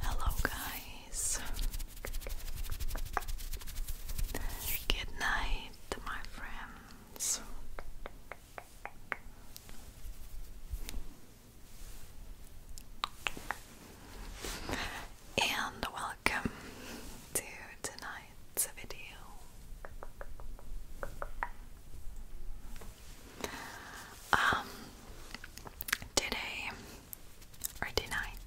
Hello, guys. Good night, my friends. And welcome to tonight's video um, today or tonight.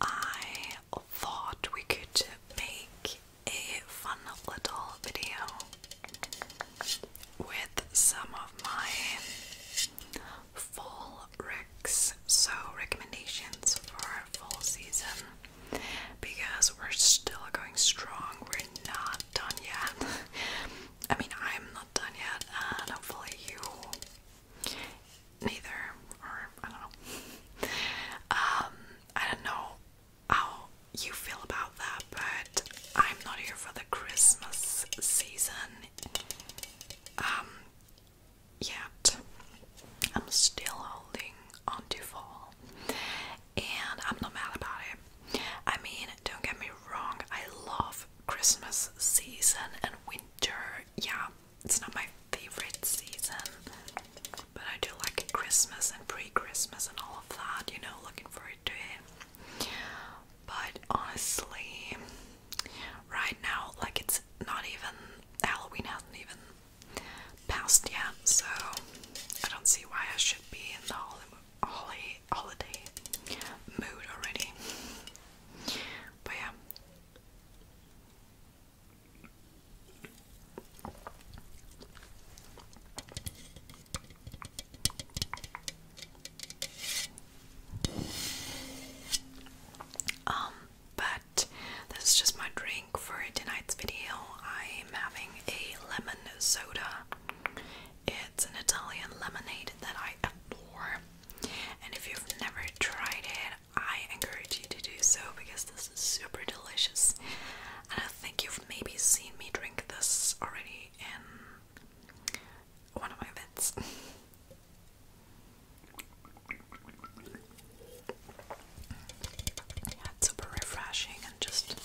I thought we could make a fun little video with some of my Full wrecks. So, recommendations for full season because we're still going strong. We're not done yet. I mean, I'm not done yet, and hopefully, you neither, or I don't know. Um, I don't know how you feel about that, but I'm not here for the Christmas season. Um, yet. I'm still holding on to fall, and I'm not mad about it. I mean, don't get me wrong, I love Christmas season and winter. Yeah, it's not my favorite season, but I do like Christmas and pre Christmas and all of that, you know, looking forward to it. But honestly, right now, like it's not even Halloween hasn't even passed yet, so I don't see why I should be in the holiday holiday mood already. But yeah. Um, but that's just my drink for tonight's video. I'm having a lemon soda. It's an Italian lemonade that I adore. And if you've never tried it, I encourage you to do so because this is super delicious. And I think you've maybe seen me drink this already one of my vents. yeah, super refreshing and just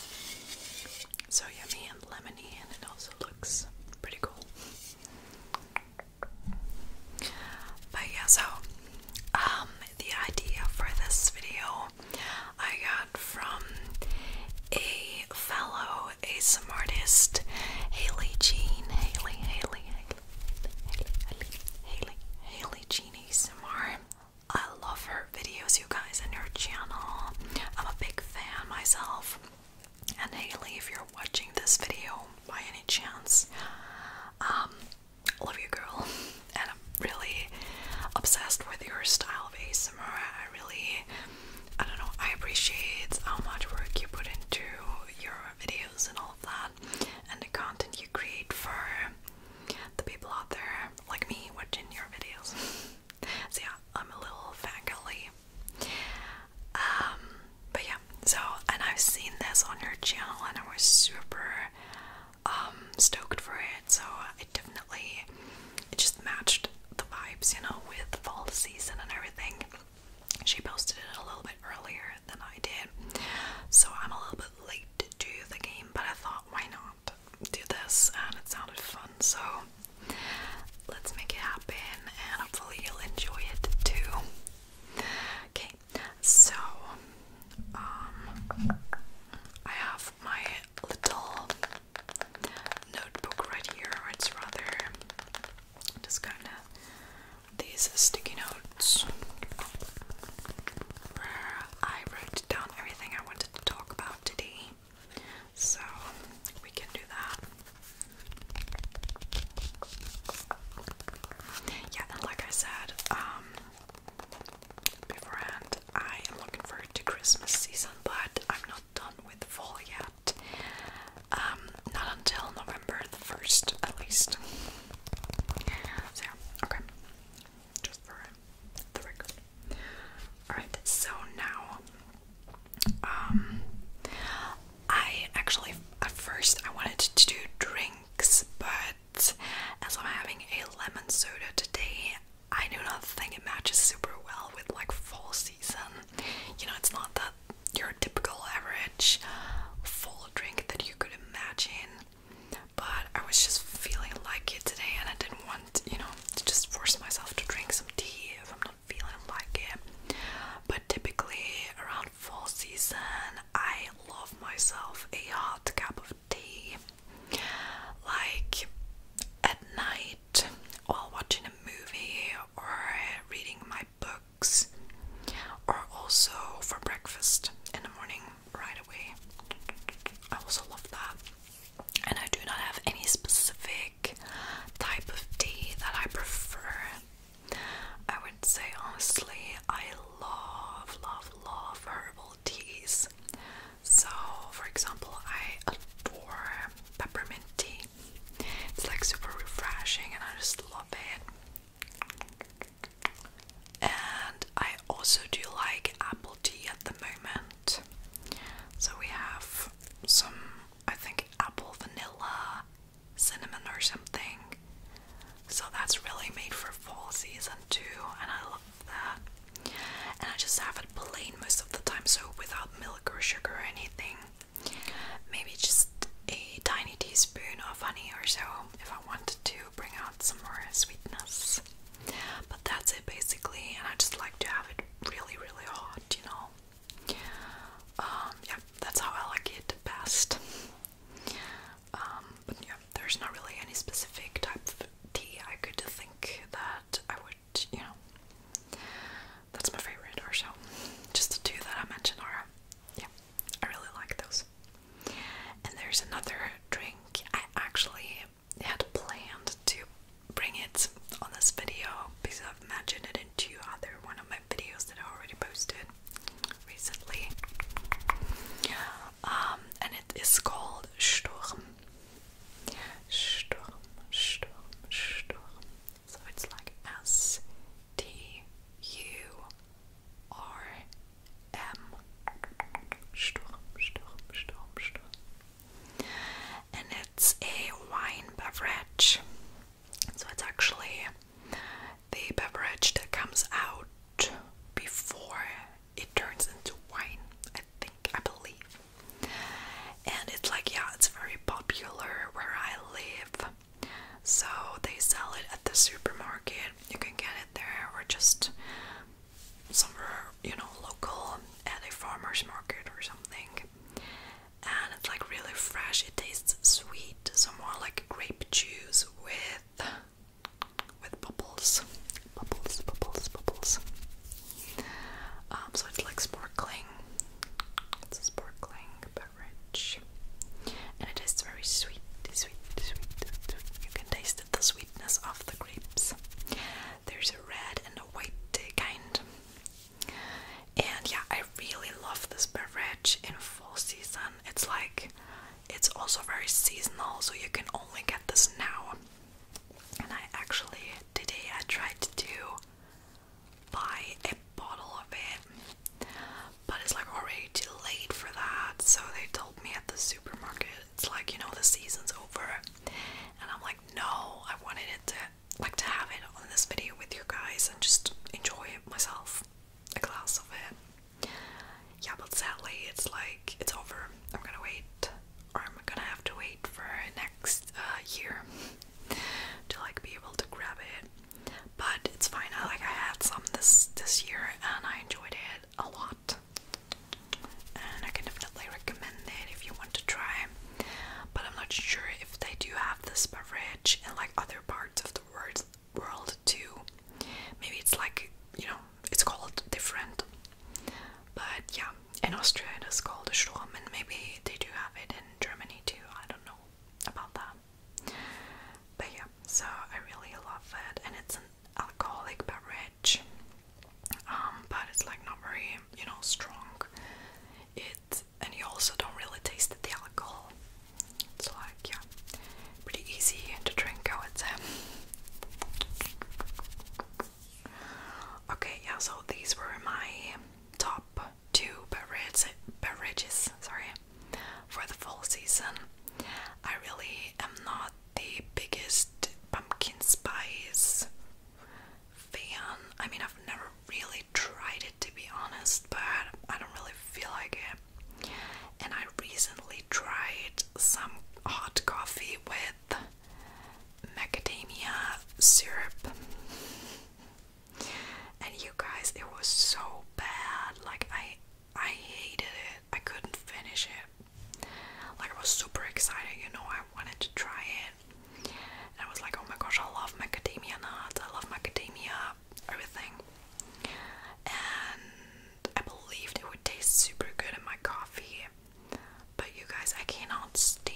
so yummy and lemony, and it also looks pretty cool. But yeah, so um, the idea for this video I got from a fellow ASM artist Haley Jean. Haley, Haley, Haley, Haley, Haley, Haley Jean ASMR. I love her videos, you guys, and her channel. I'm a big fan myself. And Haley, if you're watching this video by any chance, um, love you, girl. And I'm really obsessed with your style of ASMR. I really, I don't know, I appreciate how much work you put into your videos and all of that and the content you create for the people out there like me watching your videos. so yeah, I'm a little fangirly. Um, but yeah, so and I've seen this on your channel and I was super um, stoked for it, so it definitely it just matched the vibes, you know, with fall season and everything. She posted it a little bit earlier than I did, so I'm a little bit late to do the game, but I thought, why not do this? And it sounded fun, so let's make it happen, and hopefully, you'll enjoy it too. Okay, so, um, I have my little notebook right here, or it's rather just kind of these sticky notes where I wrote down everything I wanted to talk about today. So we can do that. Yeah, like I said, um, beforehand, I am looking forward to Christmas season, but I'm not done with fall yet. Um, not until November the 1st, at least. okay. Just for the record. Alright, so now, um, I actually, at first, I wanted to do drinks, but as I'm having a lemon soda today, I do not think it matches super well with like fall season. You know, it's not that your typical average full drink that you could imagine. But I was just feeling like it today, and I didn't want, you know, to just force myself to drink some tea if I'm not feeling like it. But typically, around fall season, I love myself a hot cup of tea. Like at night, while watching a movie or reading my books or also for breakfast in the morning right away. I also love that. And I do not have any specific type of tea that I prefer. I would say honestly, I love, love, love herbal teas. So, for example, I adore peppermint tea. It's like super refreshing and I just love it. And I also do like apple tea at the moment. So we have some, I think, apple vanilla, cinnamon, or something. So that's really made for fall season too, and I love that. And I just have it plain most of the time, so without milk or sugar or anything. Maybe just a tiny teaspoon of honey or so if I wanted to bring out some more sweetness. But that's it basically, and I just like to have it really, really hot, you know. Um, yeah, that's how I like it best. Um, but yeah, there's not really any specific type of tea I could think that I would, you know, that's my favorite Arshel. Just the two that I mentioned are, yeah, I really like those. And there's another drink. I actually had planned to bring it on this video because I've mentioned it in two other one of my videos that I already posted recently. Um, and it is called Sturm. Sturm, Sturm, Sturm. So it's like S T U R M. Sturm, Sturm, Sturm, And it's a wine beverage. So it's actually the beverage that comes out before it turns into wine, I think, I believe. And it's like, yeah, it's very popular where I live. So they sell it at the supermarket. You can get it there or just somewhere, you know, local at a farmer's market or something. And it's like really fresh. It tastes sweet, so more like grape juice with with bubbles. Bubbles, bubbles, bubbles. Um, so it's like sparkling. It's sparkling, but beverage. And it is very sweet, sweet, sweet. You can taste the sweetness of the grapes. There's a red and a white kind. And yeah, I really love this beverage in full season. It's like it's also very seasonal, so you can only get this now. And I actually today I tried to do buy a bottle of it, but it's like already too late for that. So they told me at the supermarket, it's like you know the season's over, and I'm like, no, I wanted it to like to have it on this video with you guys and just enjoy it myself, a glass of it. Yeah, but sadly, it's like it's over. I'm gonna wait, or I'm gonna have to wait for next uh, year to like be able to grab it but it's fine. I like I had some this this year and I enjoyed it a lot. And I can definitely recommend it if you want to try. But I'm not sure if they do have this beverage in like other parts of the world world too. Maybe it's like you know it's called different. But yeah, in Austria it is called a Strom, and maybe they do have it in Germany too. I don't know about that. But yeah, so I really love it, and it's an alcoholic beverage, um, but it's like not very, you know, strong. It and you also don't really taste the alcohol. It's like yeah, pretty easy to drink, I would Okay, yeah, so these were my top two beverages sorry, for the full season. I really am not the biggest pumpkin spice fan. I mean, I've never really tried it to be honest, but I don't really feel like it. And I recently tried some hot coffee with macadamia syrup and you guys it was so bad like I I hated it I couldn't finish it like I was super excited you know I wanted to try it and I was like oh my gosh I love macadamia nuts I love macadamia everything and I believed it would taste super good in my coffee but you guys I cannot stand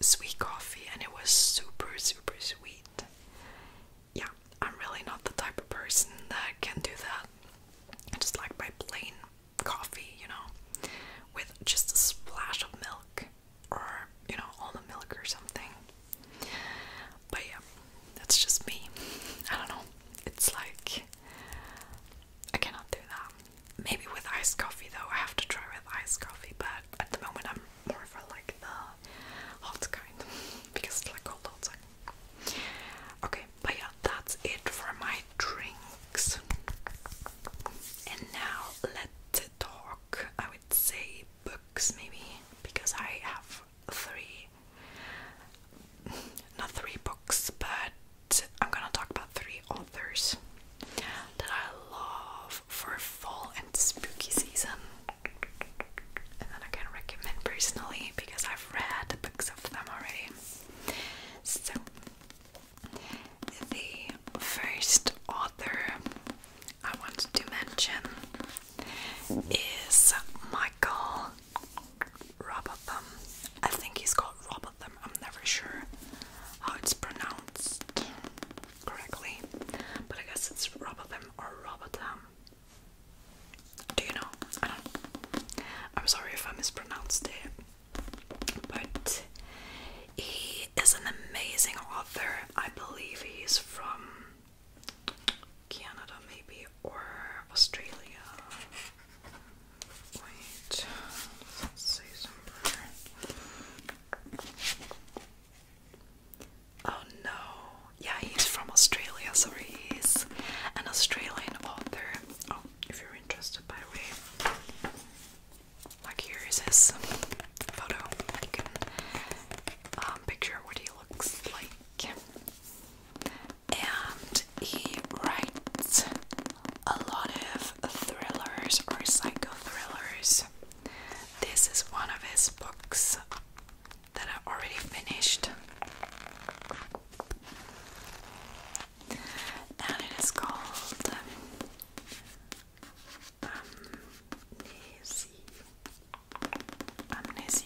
sweet coffee and it was super, super sweet. Yeah, I'm really not the type of person that can do that. I just like my plain coffee, you know, with just a splash of milk or, you know, all the milk or something. But yeah, that's just me. I don't know. It's like I cannot do that. Maybe with iced coffee though. I have to try with iced coffee, but at the moment I'm more for like the hot kind because like cold outside. Okay, but yeah, that's it for my drinks. And now let's talk. I would say books maybe because I have three, not three books, but I'm gonna talk about three authors that I love for fall and spooky season. And that I can recommend personally because I've read the books of them already. So, the first author I want to mention is Michael Robotham. I think he's called Robotham, I'm never sure how it's pronounced correctly, but I guess it's Robotham or Robotham. Do you know? I don't I'm sorry if I mispronounced it, but he is an amazing author. I believe he's from Canada, maybe, or Australia. Wait, let's Oh no. Yeah, he's from Australia. Sorry, he's an Australian author. Oh, if you're interested, by the way. Like, here is his photo. You can um, picture what he looks like. And he writes a lot of thrillers or psycho thrillers. This is one of his books that I already finished. And it is called um, Amnesia. Amnesia.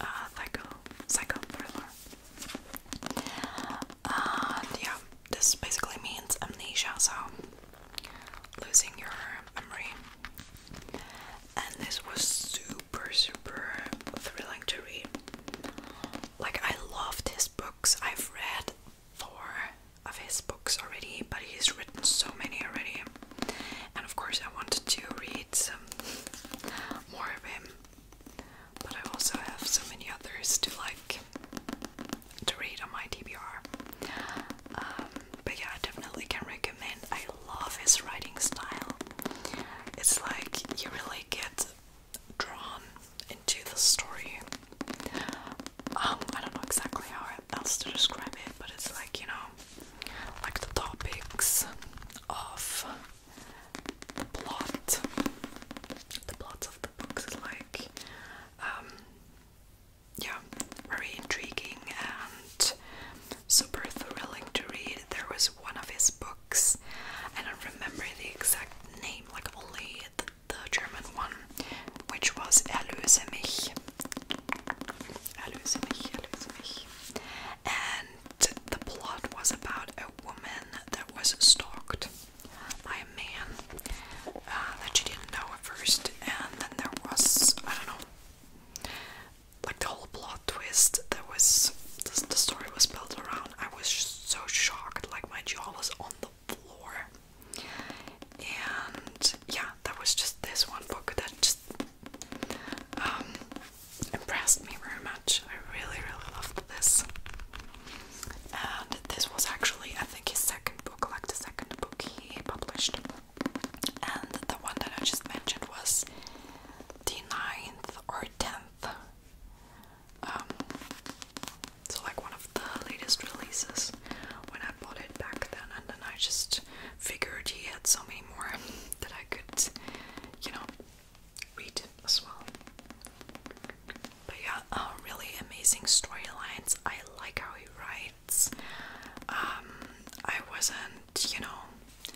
Uh, psycho, psycho thriller. Uh, yeah, this basically means amnesia, so losing your memory. And this was super, super thrilling to read. Like, I love his books. I've read four of his books already, but he's written so many already. And of course, I wanted to read some more of him, but I also have so many others to like to read on my TBR. Um, but yeah, I definitely can recommend. I love his writing style. It's like you really get drawn into the story. Um, I don't know exactly how else to describe it, but it's like, you know, like the topics of the plot. The plots of the books is like um, yeah, very intriguing and super thrilling to read. There was one of his books, I don't remember the exact name, like only the, German one, which was Erlöse mich. Erlöse mich, Erlöse mich. And the plot was about a woman that was stalked man uh, that you didn't know at first, and then there was, I don't know, like the whole plot twist that was, the, story was built around. I was so shocked, like my jaw was on the floor. And yeah, that was just this one book that just um, impressed me very much. I really, really loved this. And this was actually, I think, his second book, like the second book he he published. And the one that I just mentioned was the ninth or 10th. Um, so, like one of the latest releases when I bought it back then, and then I just figured he had so many more that I could, you know, read as well. But yeah, uh, really amazing storylines. I like how he writes. Um, I wasn't, you know,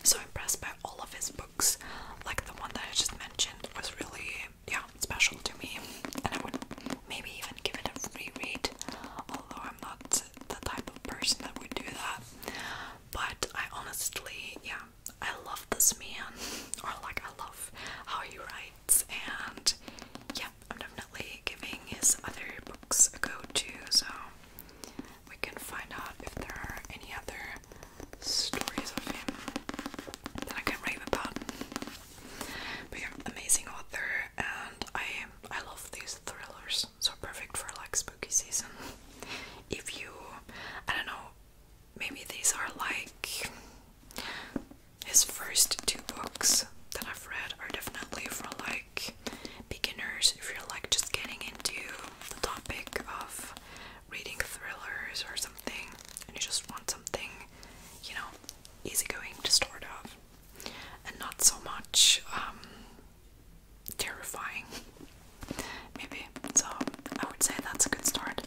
so impressed by all of his books. Like the one that I just mentioned was really, yeah, special to me, and I would maybe even give it a reread. Although I'm not the type of person that would do that, but I honestly, yeah, I love this man, or like I love how he writes, and yeah, I'm definitely giving his other books a go too, so we can find out if there are any other stories of him that I can rave about. But yeah, amazing author, and I I love these thrillers, so perfect for like spooky season. If you, I don't know, maybe these are like his first two books that I've read are definitely for like beginners if you're like just getting into the topic of reading thrillers or something and you just want something, you know, easygoing to start off and not so much um terrifying maybe. So I would say that's a good start.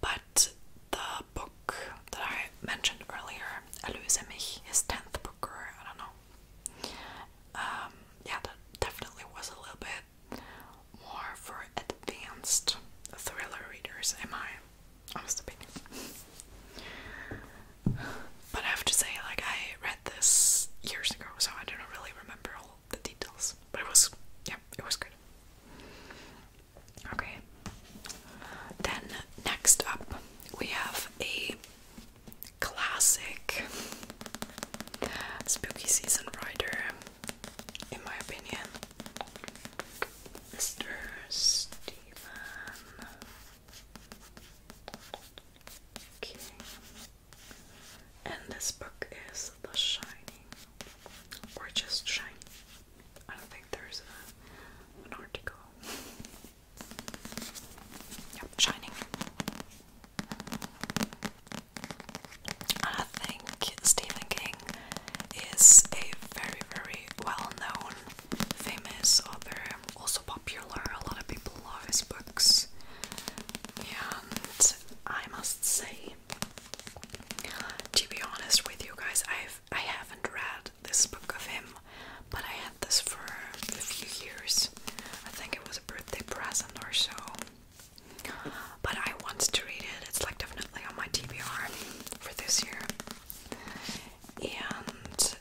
But the book that I mentioned earlier, Eloise Mich, his 10th book, or I don't know. Um, yeah, that definitely was a little bit more for advanced thriller readers, Am I? my honest opinion. But I have to say, like, I read this years ago, so I don't really remember all the details. But it was, yeah, it was good. Okay, then next up we have a classic spooky season rider, in my opinion. Mr. Stephen King. And this book is The Shining. Or just Shining. I don't think there's a, an article. Yep, shining. I think Stephen King is a very, very well known, famous author, also popular. A lot of people love his books. And I must say, to be honest with you guys, I've I haven't read this book of him, but I had this for a few years. I think it was a birthday present or so. But I want to read it. It's like definitely on my TBR for this year. And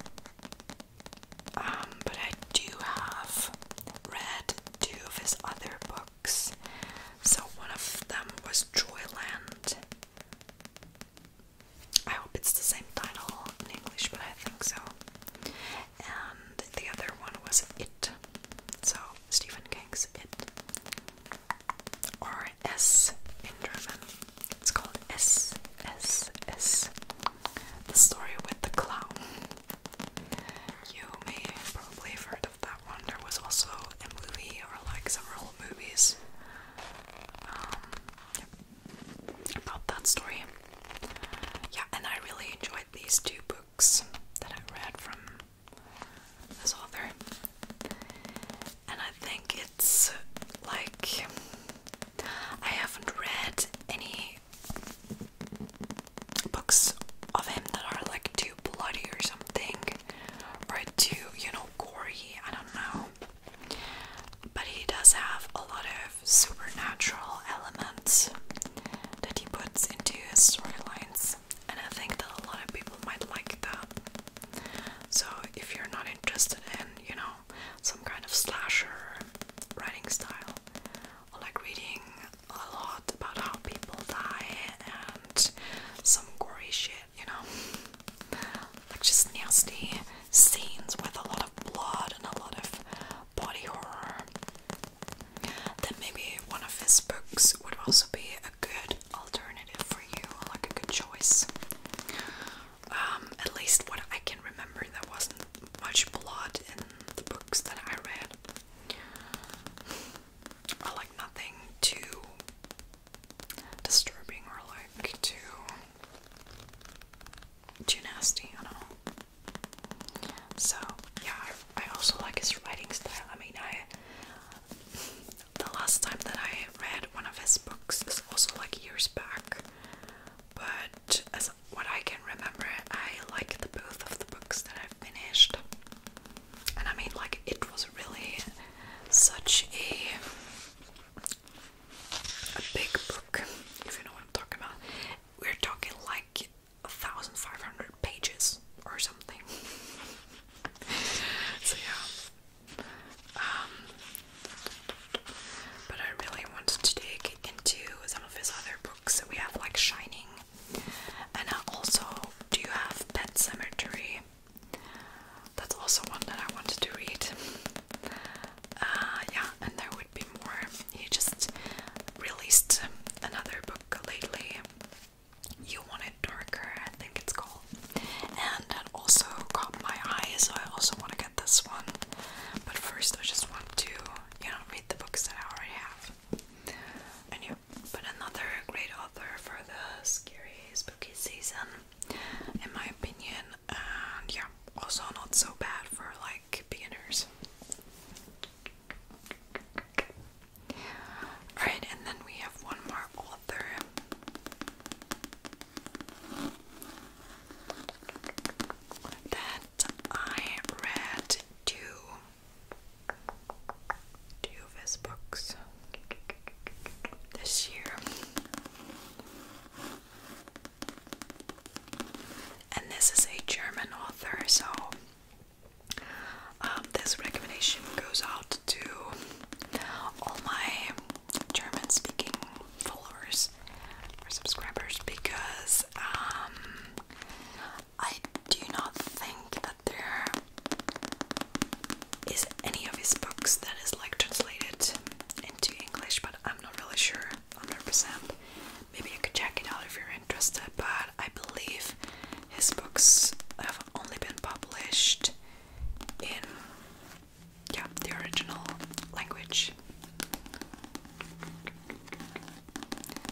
um, but I do have read two of his other books. So one of them was Joyland. I hope it's the same title in English, but I think so. And the other one was It. So Stephen King's It. Or S in German. It's called S, S, S. The story with the clown. You may probably heard of that one. There was also a movie or like several movies. Um, about that story. Yeah, and I really enjoyed these two books that I read from this author. And I think it's like I haven't read any books of him that are like too bloody or something, or too, you know, gory. I don't know. But he does have a lot of supernatural elements that he puts into his storylines, and I think that a lot of people might like that. So, if you're not interested in, you know, some kind of slasher writing style, or like reading a lot about how people die and some gory shit, you know, like just nasty scenes with a lot of blood and a lot of body horror, then maybe one of his books would also be a good alternative for you, like a good choice. Um, at least what I can remember, there wasn't much blood in the books that I read, or like nothing too disturbing or like too too nasty, you know. So yeah, I, also like his writing style. I mean, I the last time that I read one of his books is also like years back, but as what I can remember, I like the both of the books that I finished, and I mean, like it was really such a a big book, if you know what I'm talking about. We're talking like a thousand five hundred pages or something. so yeah. Um, but I really wanted to dig into some of his other books. we have like Shining and also do you have Pet Cemetery that's also one that I wanted to read. Uh, yeah, and there would be more. He just released another book lately. You Want It Darker, I think it's called. And that also caught my eye, so I also want to get this one. But first, I just want to, you know, read the books that I already have. And yeah, but another great author for the scary, spooky season in my opinion, yeah, also not so bad for like beginners. Alright, and then we have one more author. That I read two, two of his books this year. And this is a German author, so um, this recommendation goes out to all my German speaking followers or subscribers because um, I do not think that there is any of his books that is like translated to English, but I'm not really sure 100%. Maybe you could check it out if you're interested, but I believe his books have only been published in yeah, the original language.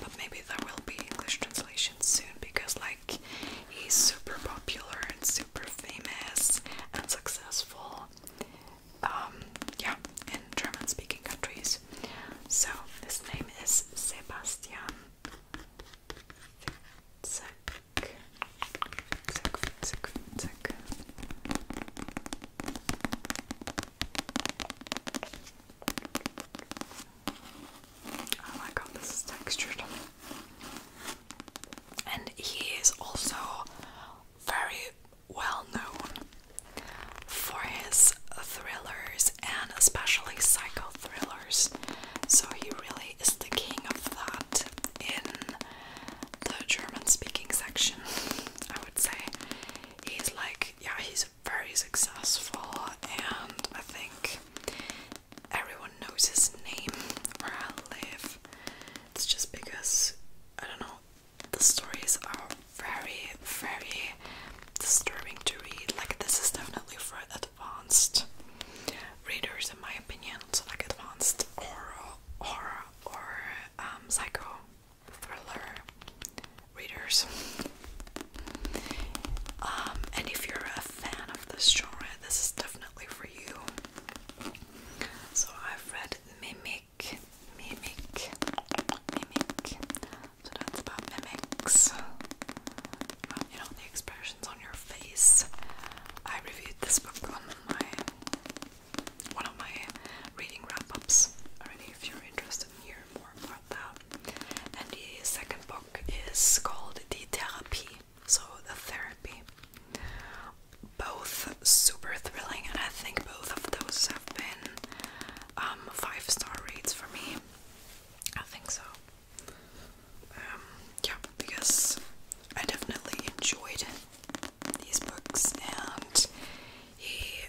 But maybe there will be English translations soon because like he's super popular and super famous and successful um, yeah, in German-speaking countries. So his name is Sebastian Oh my god, this is textured and he is also very well known for his thrillers and especially psycho thrillers. So he really is the king of that in the German speaking section, I would say. He's like, yeah, he's very successful, and I think everyone knows his name where I live. It's just because I don't know. The stories are very, very disturbing to read. Like this is definitely for advanced readers, in my opinion. So like advanced horror, horror or um, psycho thriller readers. Um, and if you're a fan of this genre, this is definitely for you. So I've read Mimic, Mimic, Mimic. So that's about mimics. Um, you know, the expressions on your face. I reviewed this book on my one of my reading wrap-ups already if you're interested in hearing more about that. And the second book is called The Therapy so the therapy. Both super thrilling, and I think both of those have been um, five star rates for me. I think so. Um, yeah, because I definitely enjoyed these books, and he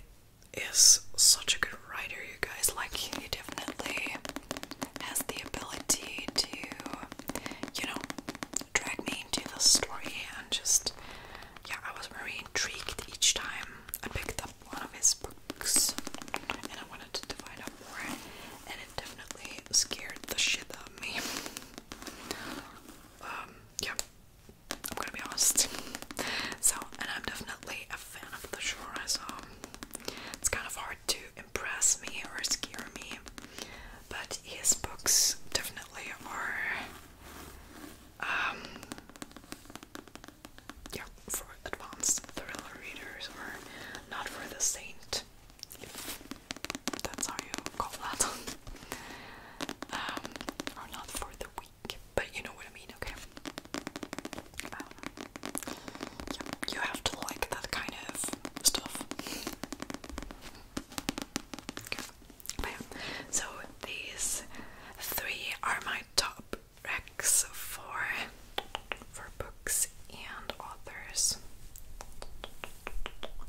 is such a good writer, you guys. Like, he definitely has the ability to you know, dragged me into the story and just, yeah, I was very intrigued each time I picked up one of his books and I wanted to divide up more, and it definitely scared the shit out of me. Um, yeah, I'm gonna be honest. So, and I'm definitely a fan of the genre, so it's kind of hard to impress me or scare me but his books definitely are um, yeah for advanced thriller readers or not for the saint that's how you call that um, or not for the weak but you know what I mean okay um, yeah, you have to like that kind of stuff so these three are my top recs for for books and authors.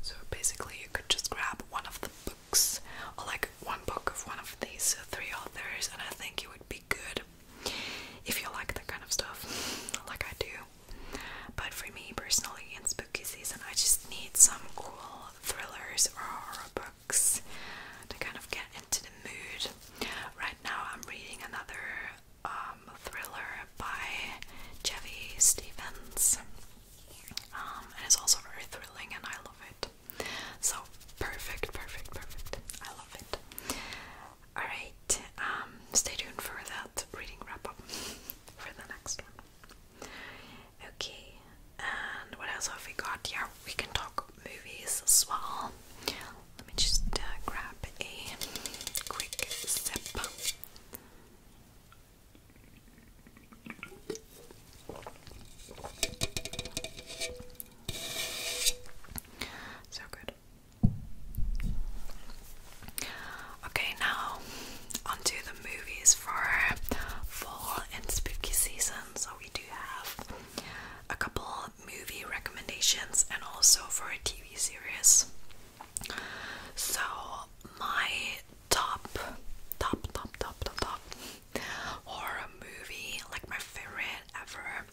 So basically you could just grab one of the books or like one book of one of these three authors and I think it would be good if you like that kind of stuff like I do. But for me personally, in spooky season, I just need some cool thrillers or horror books to kind of get into the mood. Right now, I'm reading another um, thriller by Chevy Stevens, um, and it's also very thrilling, and I love it. So perfect, perfect, perfect. I love it. All right, um, stay tuned for that reading wrap up for the next one. Okay, and what else have we got? Yeah, we can talk movies as well. Let me just uh, grab a quick sip. So good. Okay, now onto the movies for fall and spooky season. So we do have a couple movie recommendations and also for a TV series. So my top, top, top, top, top, top horror movie, like my favorite ever,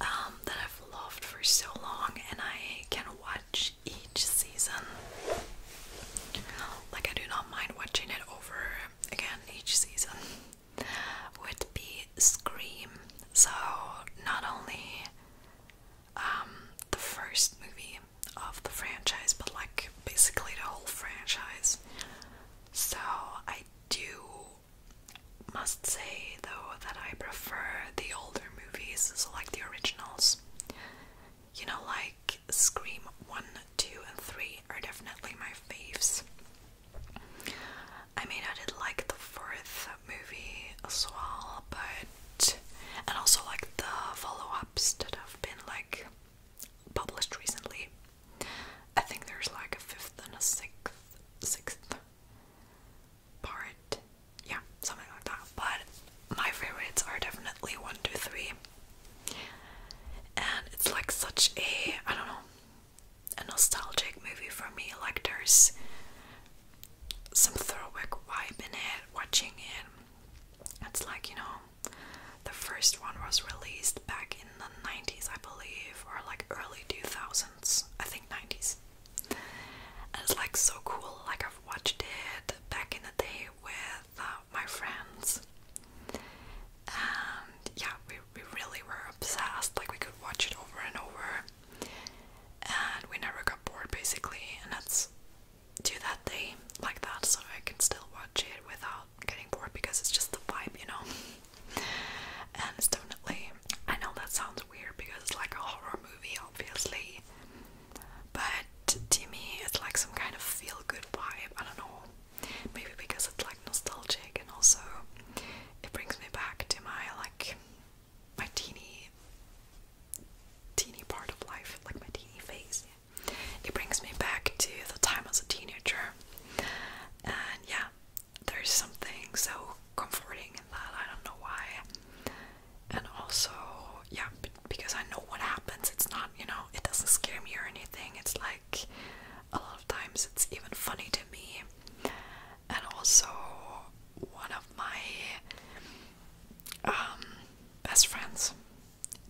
um, that I've loved for so long, and I can watch each season. Like, I do not mind watching it over again each season. Would be Scream. So, not only um, the first movie of the franchise, but like basically the whole franchise. So, I do must say though that I prefer the older movies, so like the originals you know, like Scream 1, 2, and 3 are definitely my faves. I mean, I did like the fourth movie as well, but. and also like the follow ups that have been like published recently. I think there's like a fifth and a sixth, sixth part yeah, something like that. But my favorites are definitely one, two, three, and it's like such a I don't know a nostalgic movie for me. Like there's some throwback vibe in it. Watching it, it's like you know the first one was released back in the 90s, I believe, or like early 2000s. I think 90s. And it's like so cool. Like I have watched it back in the day with uh, my friends. And yeah, we, we really were obsessed, like we could watch it over and over. And we never got bored basically, and that's to that day like that, so I can still watch it without getting bored because it's just the vibe, you know. and it's definitely I know that sounds weird because it's like a horror movie obviously but to me it's like some kind of feel-good vibe. I don't know, maybe because it's like nostalgic and also it brings me back to my like my teeny teeny part of life, like my teeny phase. It brings me back to the time as a teenager, and yeah, there's something so comforting in that. I don't know why and also yeah because I know what happens it's not you know it doesn't scare me or anything it's like a lot of times it's even funny to me and also one of my um, best friends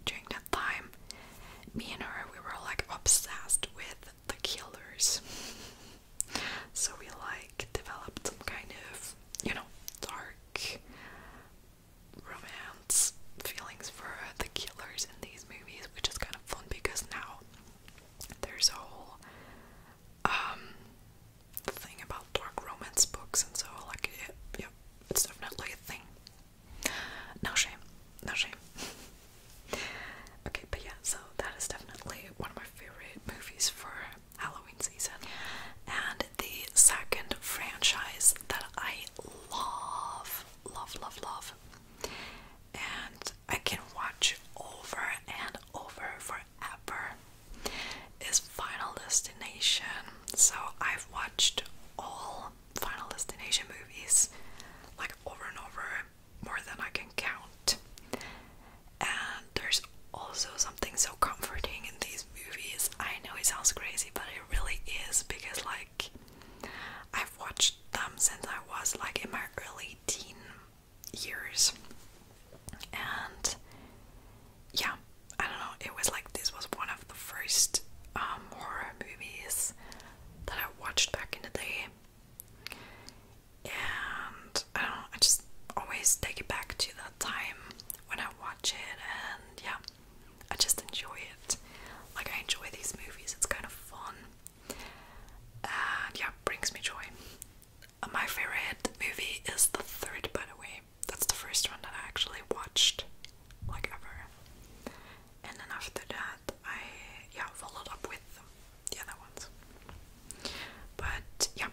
during that time me and her we were like obsessed with the killers so we like developed some kind of you know dark romance feelings for the killers in these movies, which is kind of fun because now there's a whole um, thing about dark romance books, and so like, yeah, it's definitely a thing. No shame, no shame. okay, but yeah, so that is definitely one of my favorite movies for Halloween season. And the second franchise that I love, love, love, love, and I can watch over and over forever is Final Destination. So I've watched all Final Destination movies like over and over, more than I can count there's also something so comforting in these movies. I know it sounds crazy, but it really is because, like, I've watched them since I was like in my early teen years. And yeah, I don't know, it was like this was one of the first um, horror movies that I watched back in the day. And I don't know, I just always take it back to that time when I watch it, and yeah, I just enjoy it. Like, I enjoy these movies, it's kind of fun, and yeah, brings me joy. My favorite movie is The Third, by the way. That's the first one that I actually watched, like, ever. And then after that, I yeah, followed up with the other ones. But yeah,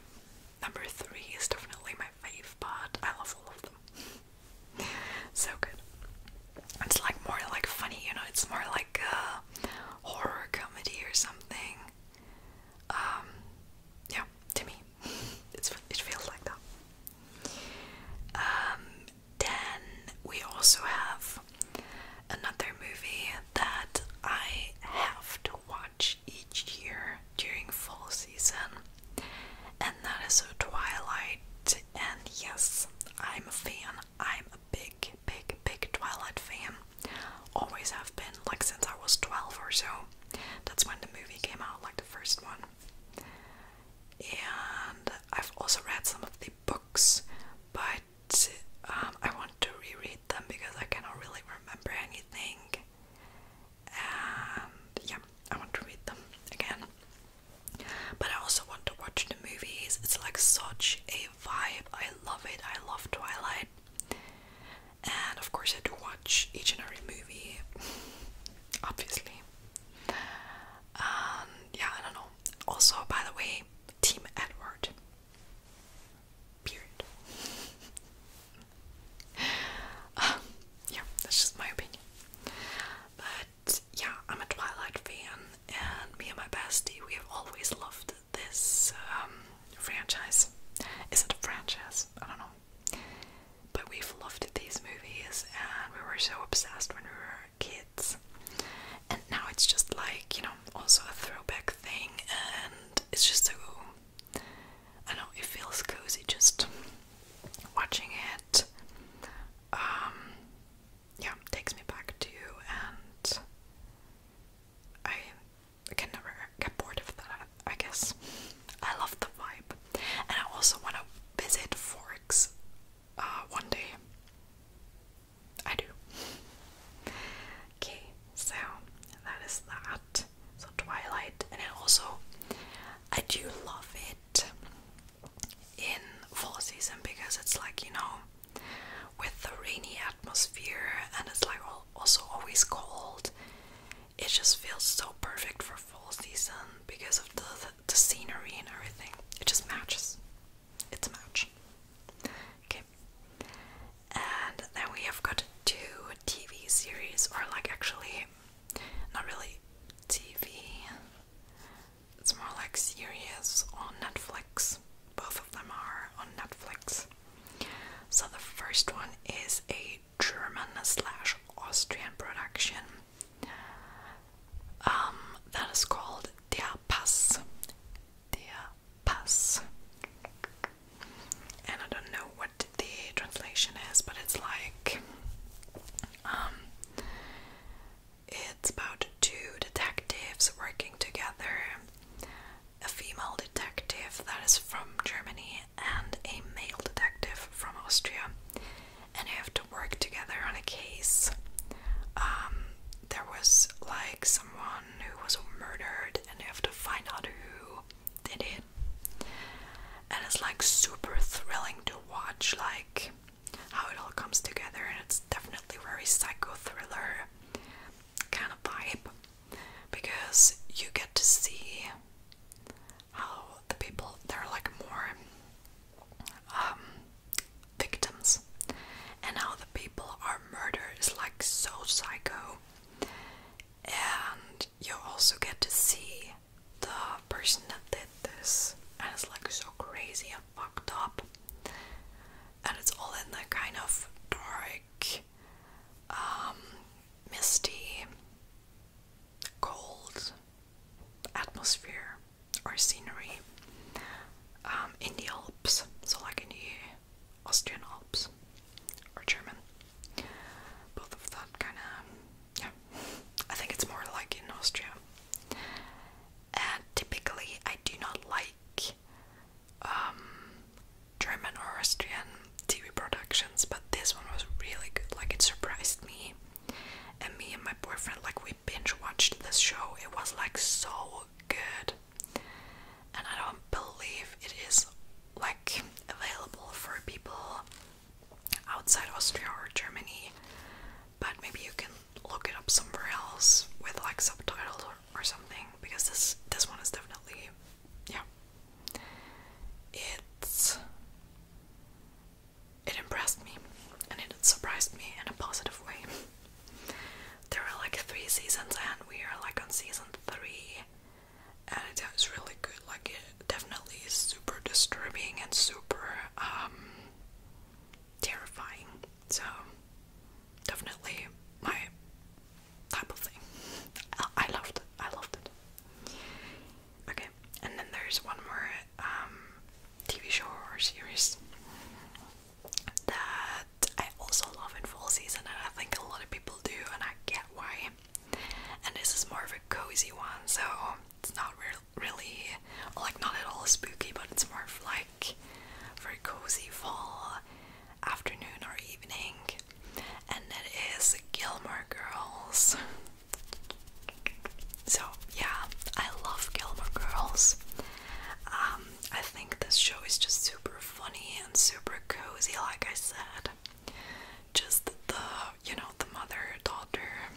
Number three is definitely my fave part. I love all of them. so good. It's like more like funny, you know, it's more like a horror comedy or something. Um, yeah, to me. It's it feels like that. Um, then we also have another movie that I have to watch each year during fall season and that is her Twilight. And yes, I'm a fan. I'm a big, big, big Twilight fan. Always have been, like since I was 12 or so. That's when the movie came out, like the first one. And I've also read some of the books, but um, I want to reread them because I cannot really remember anything and yeah, I want to read them again. But I also want to watch the movies. It's like such a vibe. I love it. I love Twilight. And of course, I have to watch each and every movie, obviously. Um, yeah, I don't know. Also, by the way, Team Edward. Period. Uh, yeah, that's just my opinion. But yeah, I'm a Twilight fan, and me and my bestie, we have always loved this um, franchise. Is it a franchise? I don't know. But we've loved these movies, and we were so obsessed when we were kids. And now it's just like, you know, also a throwback thing, and it's just so I know it feels cozy just watching it. Um, yeah, takes me back to you, and I can never get bored of that. I guess I love the vibe, and I also want to visit Forks uh, one day. I do. Okay, so that is that. So Twilight, and then also I do love it in fall season because it's like you know with the rainy atmosphere and it's like also always cold. It just feels so perfect for fall season because of the the, the scenery and everything. It just matches. It's a match. Okay. And then we have got two TV series or like actually not really TV. It's more like series on Netflix. Both of them are on Netflix. So the first one is a German slash Austrian production um, that is called Der Pass. Der Pass and I don't know what the translation is, but it's like um, it's about two detectives working together a female detective that is from Germany and a male detective from Austria, and they have to work together on a case. Um, there was like someone who was murdered, and they have to find out who did it. And it's like super thrilling to watch, like how it all comes together, and it's definitely very psycho thriller kind of vibe because you get to see how the people they're like more um, victims and how the people are murdered is like so psycho and you also get to see the person that did this, and it's like so crazy and fucked up, and it's all in that kind of dark, um, misty, cold atmosphere or scenery um, in the Alps, so like in the Austrian Alps or German both of them kind of, yeah. I think it's more like in Austria. And typically, I do not like um, German or Austrian TV productions, but this one was really good. Like, it surprised me. And me and my boyfriend, like, we binge watched this show. It was like so good. And I don't believe it is like available for people outside Austria or Germany, but maybe you can look it up somewhere else with like subtitles or, or something because this this one is definitely yeah. It's it impressed me and it surprised me in a positive way. There are like three seasons and we are like on season three and it was really good. Like it definitely is super disturbing and super um, terrifying. So definitely my type of thing. I loved it. I loved it. Okay, and then there's one more um, TV show or series that I also love in fall season, and I think a lot of people do, and I get why and this is more of a cozy one, so it's not really like not at all spooky, but it's more of like very cozy fall afternoon or evening, and it is Gilmore Girls. So yeah, I love Gilmore Girls. Um, I think this show is just super funny and super cozy, like I said just the you know the mother daughter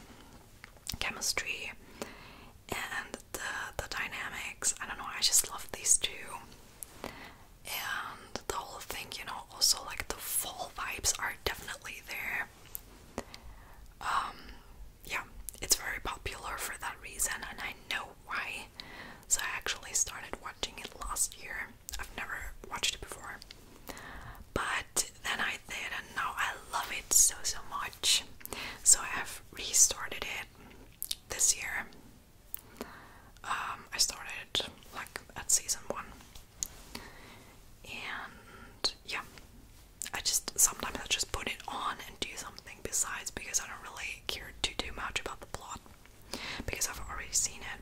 chemistry and the the dynamics. I don't know. I just love these two, and the whole thing. You know, also like the fall vibes are definitely there. Um, yeah, it's very popular for that reason, and I know why. So I actually started watching it last year. I've never watched it before. But then I did, and now I love it so so much. So I have restarted it this year. Um, I started like at season one, and yeah, I just sometimes I just put it on and do something besides because I don't really care too too much about the plot because I've already seen it.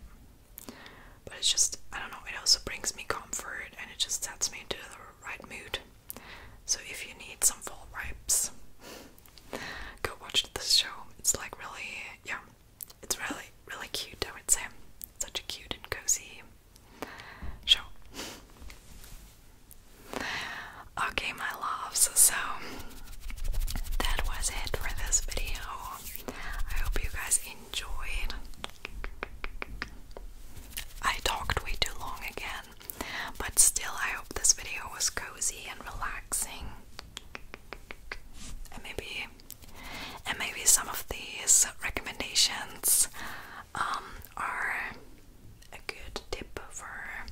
But it's just, I don't know, it also brings me comfort and it just sets me into the right mood. So if you need some fall vibes, go watch this show. It's like really, yeah, it's really, really cute, I would say. Such a cute and cozy show. Okay, my loves, so that was it for this video. I hope you guys enjoyed. I talked way too long again, but still, I hope this video was cozy and relaxing. And maybe, and maybe some of these recommendations um, are a good tip for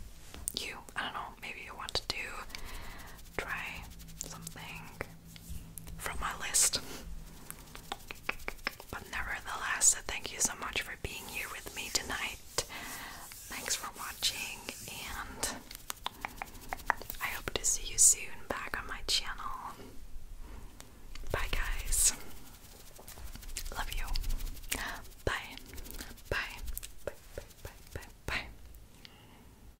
you. I don't know. Maybe you want to do try something from my list. But nevertheless, thank you so much for being here with me tonight. Thanks for watching, and I hope to see you soon back on my channel. Bye, guys. Love you. Bye. Bye. Bye. Bye. Bye. Bye.